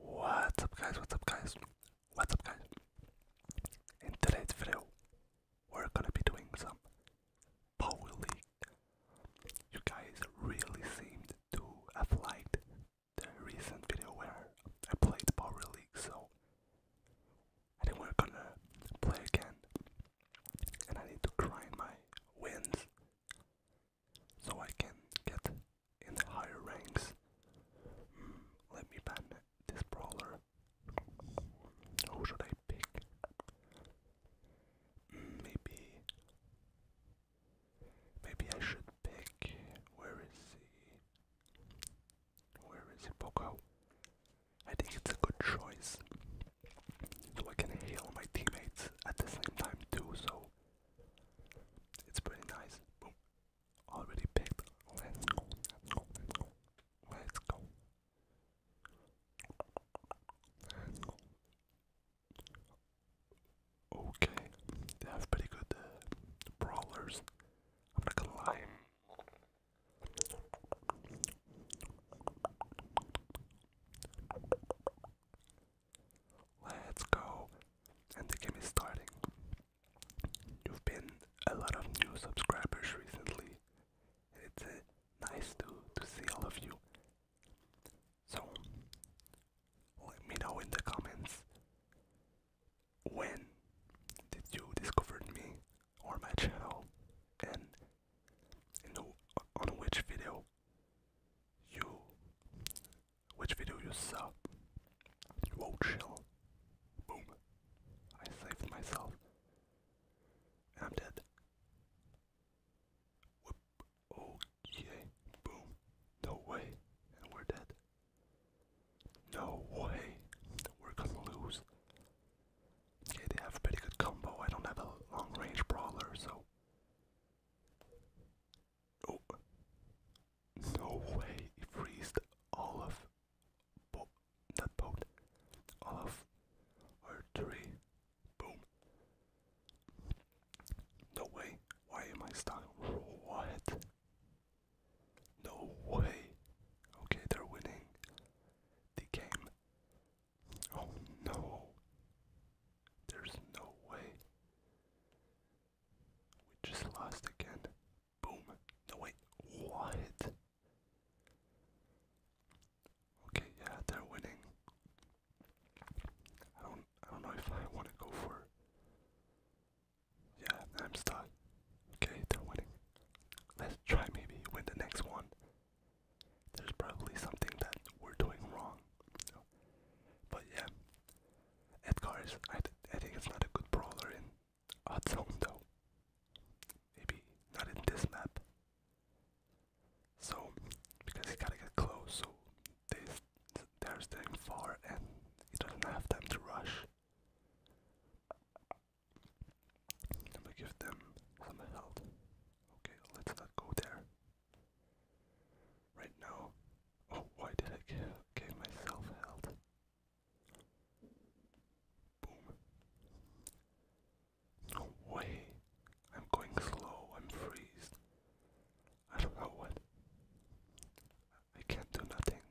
What's up guys, what's up guys, what's up guys? In today's video, we're gonna be doing some Power League. You guys really seemed to have liked the recent video where I played Power League, so I think we're gonna play again. And I need to grind my wins so I can get in the higher ranks. Hmm, let me ban this brawler. Who should I pick? Hmm, maybe. Maybe I should pick. Where is he? Where is he, Poco? I think it's a good choice. So I can heal my teammates at the same time too, so it's pretty nice. Already picked. Let's go. Let's go. Okay, they have pretty good uh, I'm not gonna lie. Let's go. And the game is starting. You've been a lot of new subscribers recently. It's uh, nice to, to see all of you. So, let me know in the comments when did you discover me or my channel and in on which video you which video you saw? Whoa chill. Boom. I saved myself. And I'm dead. Whoop. Okay. Boom. No way. And we're dead. No way. We're gonna lose. Okay, they have a pretty good combo. I don't have a long range brawler, so Oh. No way, he freezed all of bo boat. All of our tree. Boom. No way. Why am I stuck? What? No way. Okay, they're winning the game. Oh no. There's no way. We just lost again. Boom. No wait. What? Okay, yeah, they're winning. I don't I don't know if I wanna go for Yeah, I'm stuck. Okay, they're winning. Let's try maybe win the next one. There's probably something that we're doing wrong but yeah, Edgar I, I think it's not a good brawler in odd zone though. Maybe not in this map. So because he gotta get close, so they they're staying far and he doesn't have time to rush. Let me give them some health. Okay, let's not go there right now. Oh, why did I give, myself health? Boom. No way. I'm going slow. I'm freezed. I don't know what. I can't do nothing.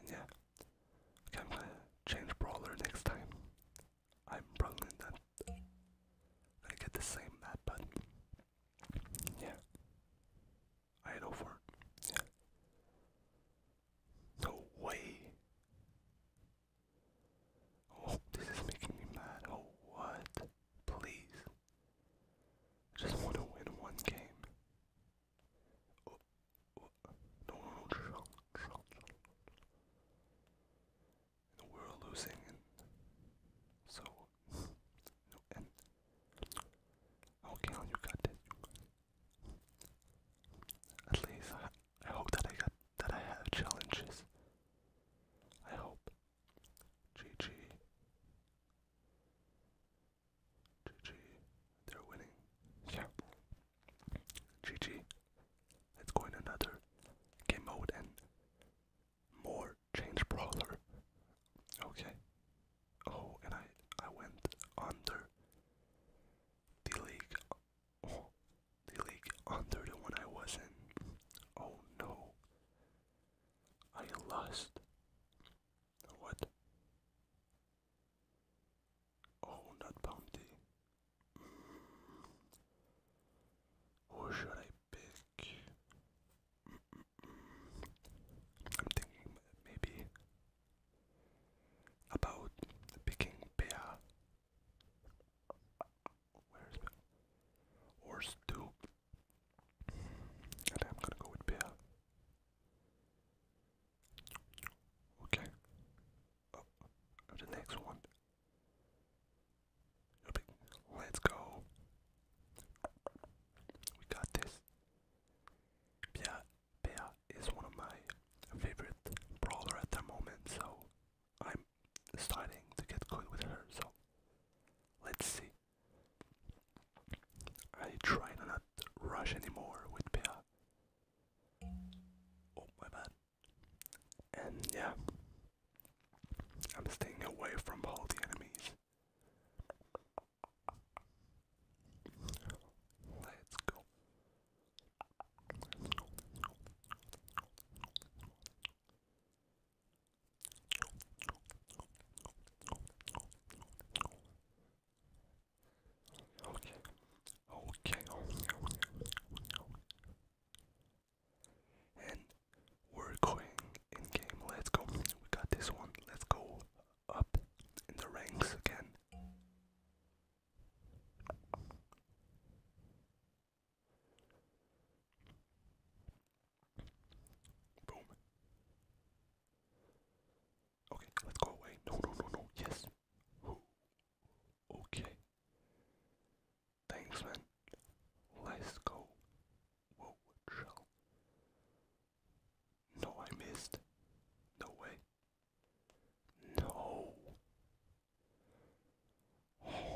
And yeah. I'm gonna change brawler next time. I'm probably not going get the same map, but yeah. I had over Yeah. No way. Oh, this is making me mad. Oh, what? Please. I just want to win one game. Oh, you know, losing, so you know, and okay, you got it. At least I, I hope that I got that I have challenges. I hope. GG. GG. They're winning. Yeah. GG. Let's go in another game mode and more change brawler. Okay. Oh, and I I went under the league. Oh, the league under the one I was in. Oh no. I lost. What? Oh, not bounty. Who should I pick? I'm thinking maybe about picking Bea. Where's Bea? Or Stu. I'm gonna go with Bea. Okay. Oh, the next one Let's go. We got this. Bea, Bea is one of my favorite brawler at the moment, so I'm starting to get good with her, so let's see. I try to not rush anymore with Bea. Oh my bad. And yeah, I'm staying away from all the enemies. Let's go. Okay. Okay. And we're going in game. Let's go. We got this one. Let's go up in the ranks again. Boom. Okay, let's go away. No, no, no, no. Yes. Ooh. Okay. Thanks, man. Let's go. Whoa, shell. No, I missed. No way. No. Okay,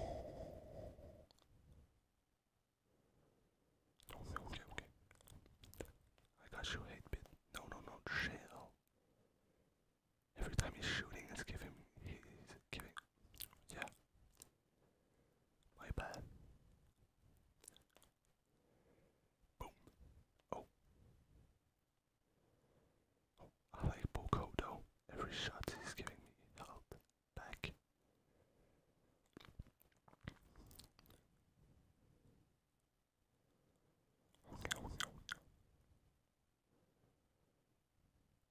okay, okay. I got you, hate bit. No, no, no, shell. Every time he's shooting, it's giving. He's giving. Yeah. My bad. Boom. Oh. Oh, I like Boko though. Every shot he's giving me health back. Okay, okay, okay.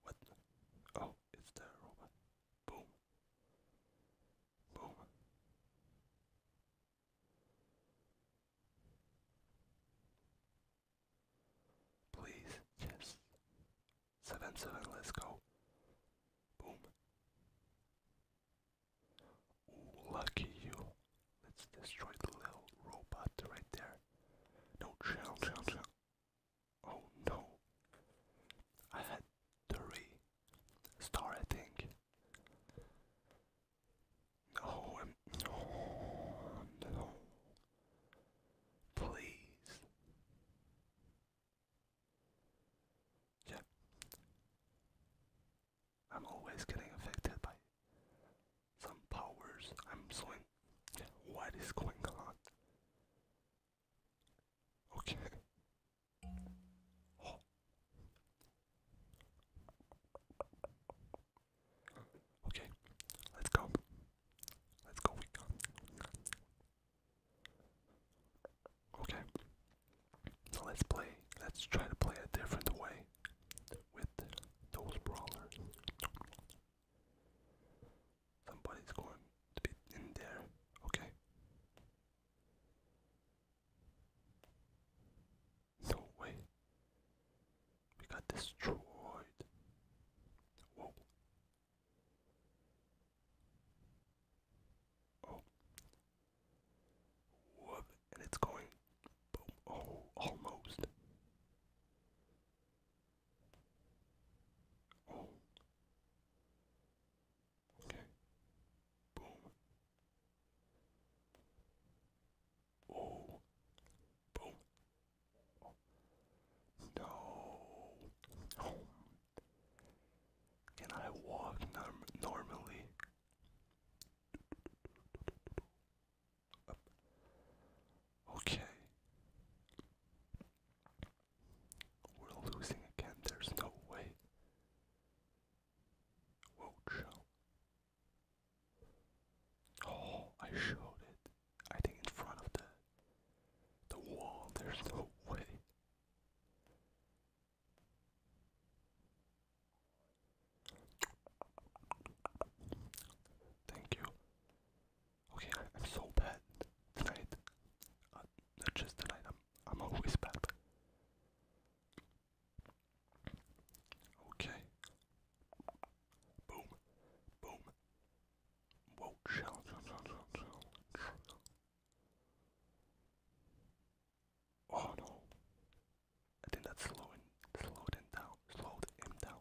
What? Oh, it's the robot. Boom. Boom. Please, yes. Seven seven, let's go. Boom. lucky you. Let's destroy the little robot right there. No, chill, chill, chill. Oh no. I had to restart, I think. No, no. Please. Yeah. I'm always getting affected by some powers. I'm so what is going on? Okay. Okay, let's go. Let's go. Okay. So let's play. Let's try to play a different way with those brawlers. Somebody's going to be in there, okay? No way. We got destroyed. Whoa. Oh. Whoop. And it's going. Oh, almost. Oh. Okay. Boom. Oh. Boom. No. Can I walk norm normally? Okay. We're losing again, there's no way. Whoa, show. Oh, I showed it. I think in front of the the wall, there's no way. Thank you. Okay, I, am so bad tonight. Uh, not just tonight, I'm, I'm always bad. Okay. Boom. Boom. Oh no. I think that's slowing slowed down. Slowed down.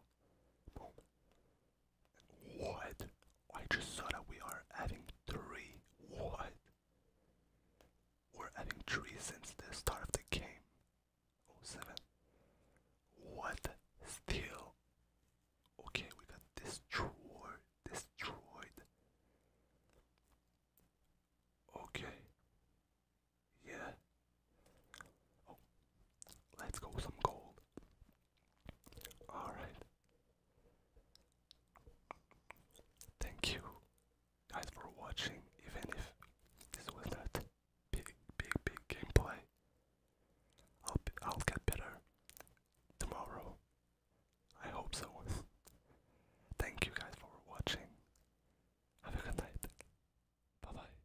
What? I just saw that we are having three. What? We're having three since the start of the game. Oh seven. What? Still. Okay, we got destroyed. Destroyed. Okay. Yeah, Oh, let's go some gold. Alright. Thank you guys for watching, even if this was not big, big, big gameplay. I'll, I'll get better tomorrow. I hope so. Thank you guys for watching. Have a good night. Bye bye.